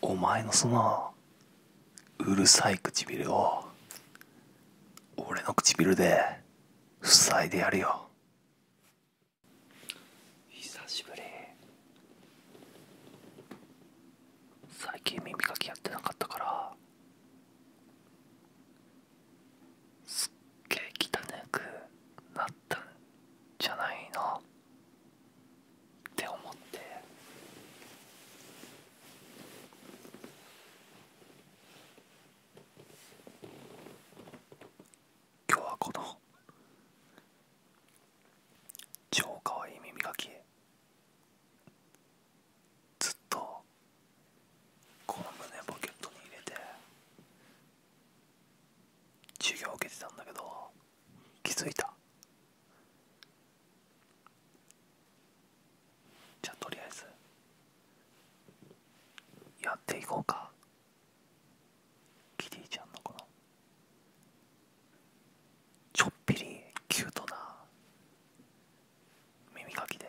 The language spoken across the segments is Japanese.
お前のそのうるさい唇を俺の唇で塞いでやるよ久しぶり最近耳かきやってなかったからすっげえ汚くなったんじゃないのって思って今日はこの超かわいい耳かきずっとこの胸ポケットに入れて授業受けてたんだけど。気づいたじゃあとりあえずやっていこうかキティちゃんのこのちょっぴりキュートな耳かきで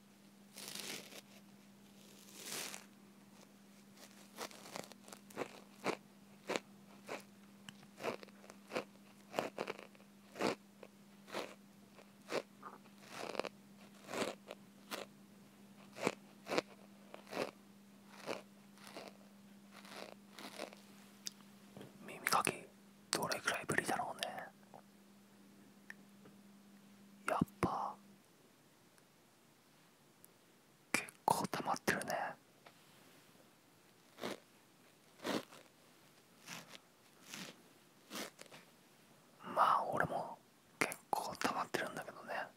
耳かきどれくらいぶりだろうねやっぱ結構溜まってるねまあ俺も結構溜まってるんだけどね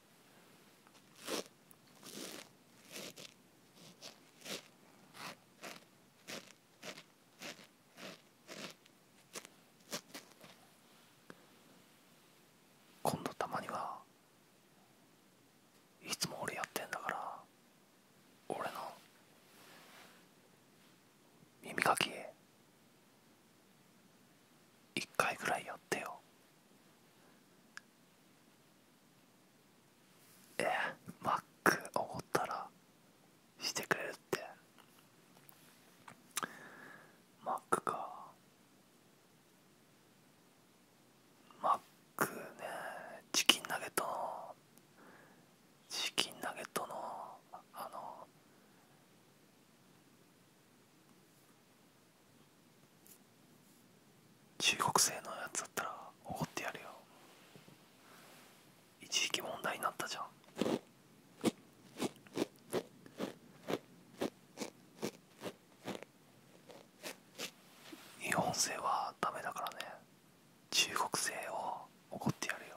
今度たまにはいつも俺やってんだから俺の耳かき一回ぐらいやってよえマックおごったらしてくれるってマックかマックねチキンナゲットのチキンナゲットのあの中国製のやつだったら怒ってやるよ一時期問題になったじゃん日本製はダメだからね中国製を怒ってやるよ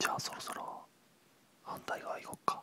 じゃあそろそろ反対側行こっか。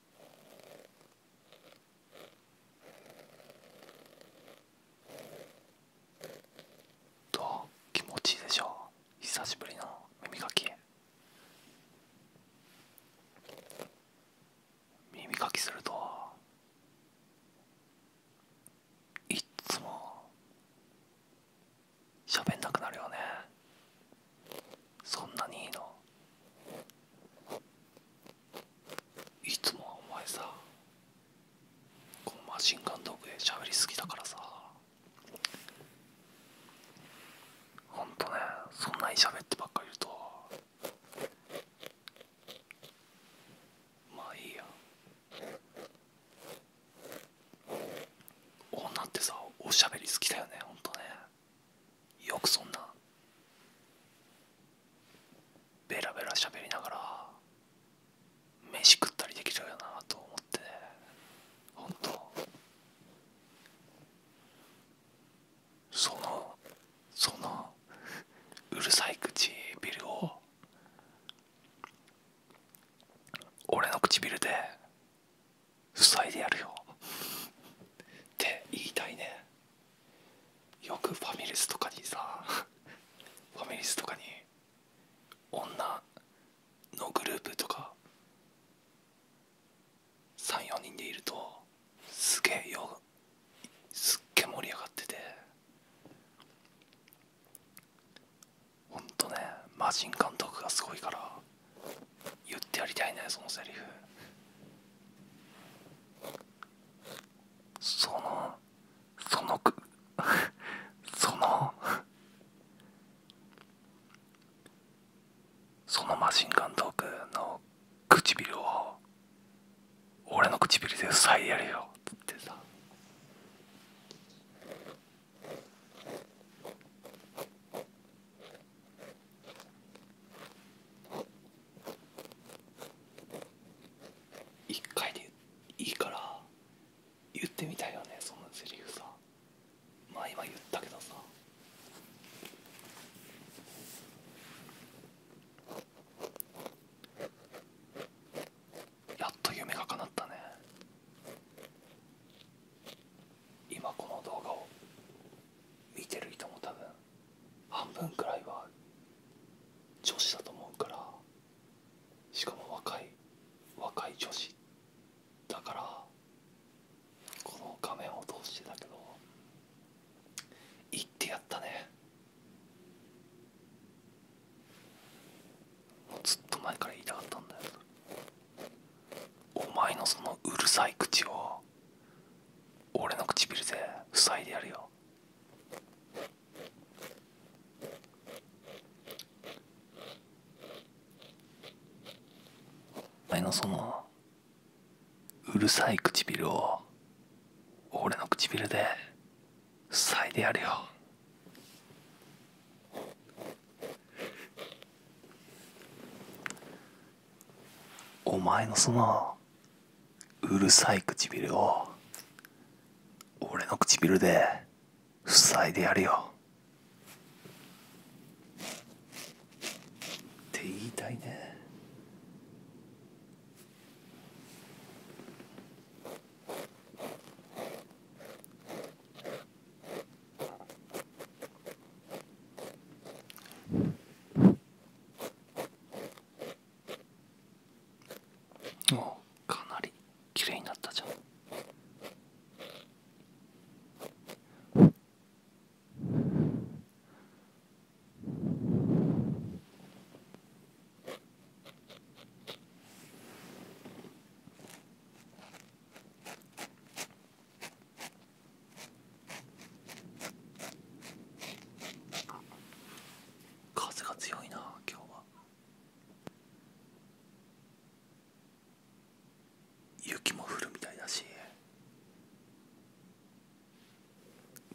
うどと、気持ちいいでしょう久しぶりの耳かき耳かきするといっつも喋んなくなるよねそんなにいいのいつもはお前さこのマシンガンドッグで喋りすぎだからさほんとねそんなに喋ってばっかり言うとまあいいや女ってさおしゃべり好きだよねほんとねよくそんなベラベラ喋りながら飯食ったりできちゃうよなと思ってねほんそのそのうるさい唇を俺の唇で塞いでやるよって言いたいねよくファミレスとかにさファミレスとかに女のグループとか34人でいるとすげえよすっげえ盛り上がっててほんとね魔ジ監督がすごいから言ってやりたいねそのセリフそのそのく そのそのマシン監督の唇を俺の唇で塞いでやれよってさ一回でいいから言ってみたいよねそのセリフさまあ今言ったけどさやっと夢が叶ったね今この動画を見てる人も多分半分くらいは女子だと思うからしかも若い若い女子だからこの画面を通してだけど行ってやったねもうずっと前から言いたかったんだよお前のそのうるさい口を俺の唇で塞いでやるよお前のそのうるさい唇を俺の唇で塞いでやるよお前のそのうるさい唇を俺の唇で塞いでやるよって言いたいねお、かなり綺麗になったじゃん。風が強いな今日は雪も降るみたいだし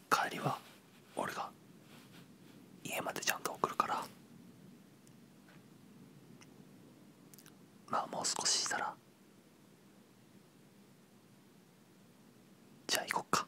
帰りは俺が家までちゃんと送るからまあもう少ししたらじゃあ行こっか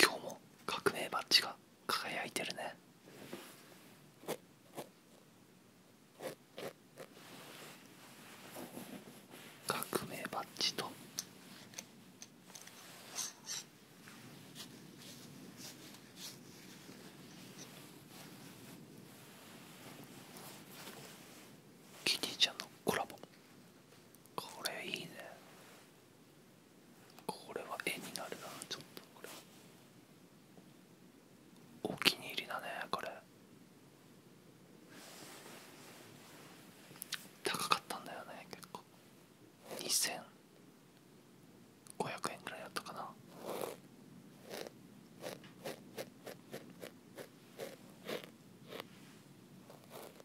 今日も革命バッジが輝いてるね革命バッジとキティちゃんのコラボこれいいねこれは絵になるなちょっとこれお気に入りだねこれ高かったんだよね結構2500円ぐらいだったかな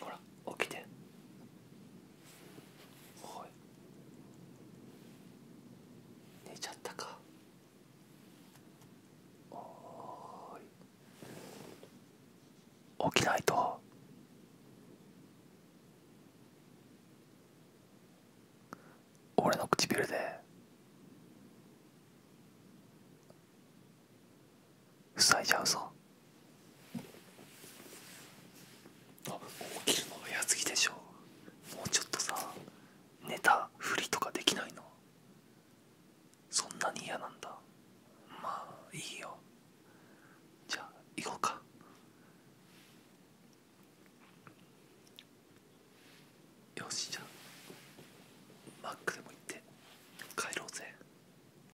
ほら起きておい寝ちゃったかおい起きないと俺の唇で塞いじゃうぞあ起きるの早すぎでしょもうちょっとさ寝たふりとかできないのそんなに嫌なんだまあいいよじゃあ行こうかよしじゃあマックでも行って帰ろうぜ